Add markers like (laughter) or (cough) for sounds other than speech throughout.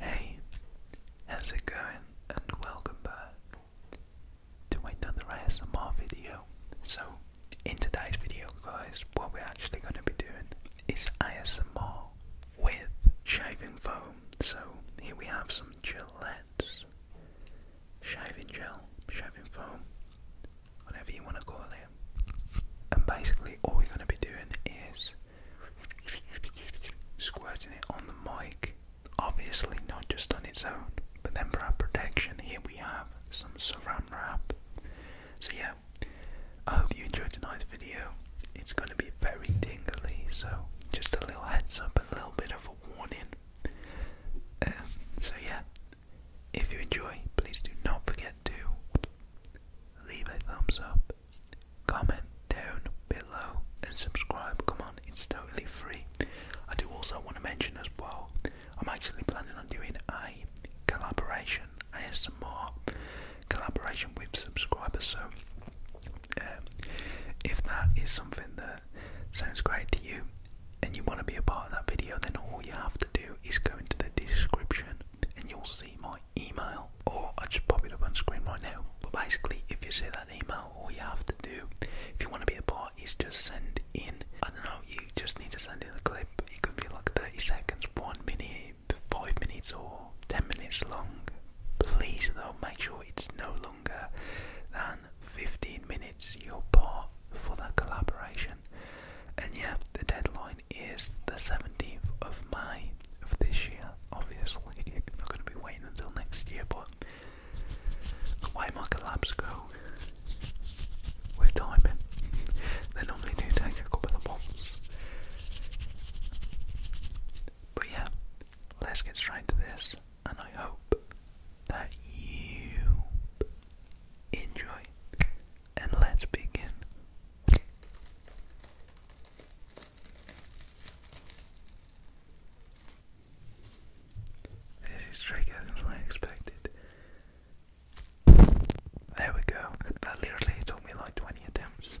Hey, how's it going? And welcome back to another ASMR video. So in today's video guys what we're actually going to be doing is ASMR with shaving foam. So here we have some Gillette's shaving gel, shaving foam, whatever you want to call it. And basically all we're going to be doing is squirting it on the mic, obviously not just on its own. But then for our protection, here we have some saran wrap. So yeah, I hope you enjoyed tonight's video. It's going to be very tingly, so just a little heads up, a little bit of a warning. Um, so yeah, if you enjoy, please do not forget to leave a thumbs up, comment down below, and subscribe. Come on, it's totally free. I do also want to mention as well I'm actually planning on doing a collaboration, ASMR collaboration with subscribers. So, um, if that is something that sounds great to you and you want to be a part of that video, then all you have to do is go into the description and you'll see my email, or I just pop it up on screen right now. But basically, if you see that email, all you have to do, if you want to be a part is just send in, I don't know, you just need to send in a clip. It could be like 30 seconds, 1 minute, 5 minutes or 10 minutes long. Please though, make sure it's no longer than 15 minutes your part for the collaboration. And yeah, the deadline is the 17th of May of this year, obviously. I'm (laughs) not going to be waiting until next year, but why labs go with timing? They normally do take a couple of months. But yeah, let's get straight to this, and I hope that you enjoy. And let's begin. This is trickier than I expected. There we go. That literally took me like 20 attempts.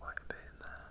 Quite a there.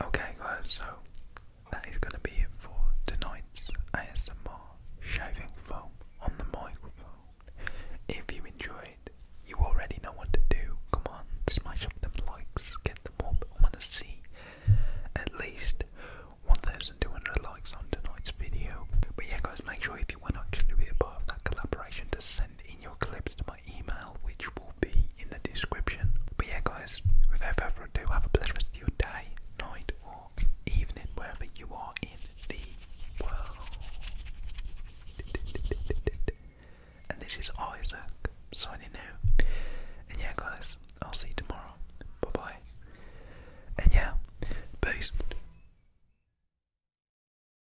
Okay, guys, so that is going to be it for tonight's ASMR shaving foam on the microphone. If you enjoyed, you already know what to do. Come on, smash up the likes, get them up. I want to see at least 1,200 likes on tonight's video. But yeah, guys, make sure if you want to actually be a part of that collaboration to send in your clips tomorrow email, which will be in the description. But yeah, guys, without ever do have a blessed rest your day, night, or evening, wherever you are in the world. And this is Isaac signing out. And yeah, guys, I'll see you tomorrow. Bye bye. And yeah, peace.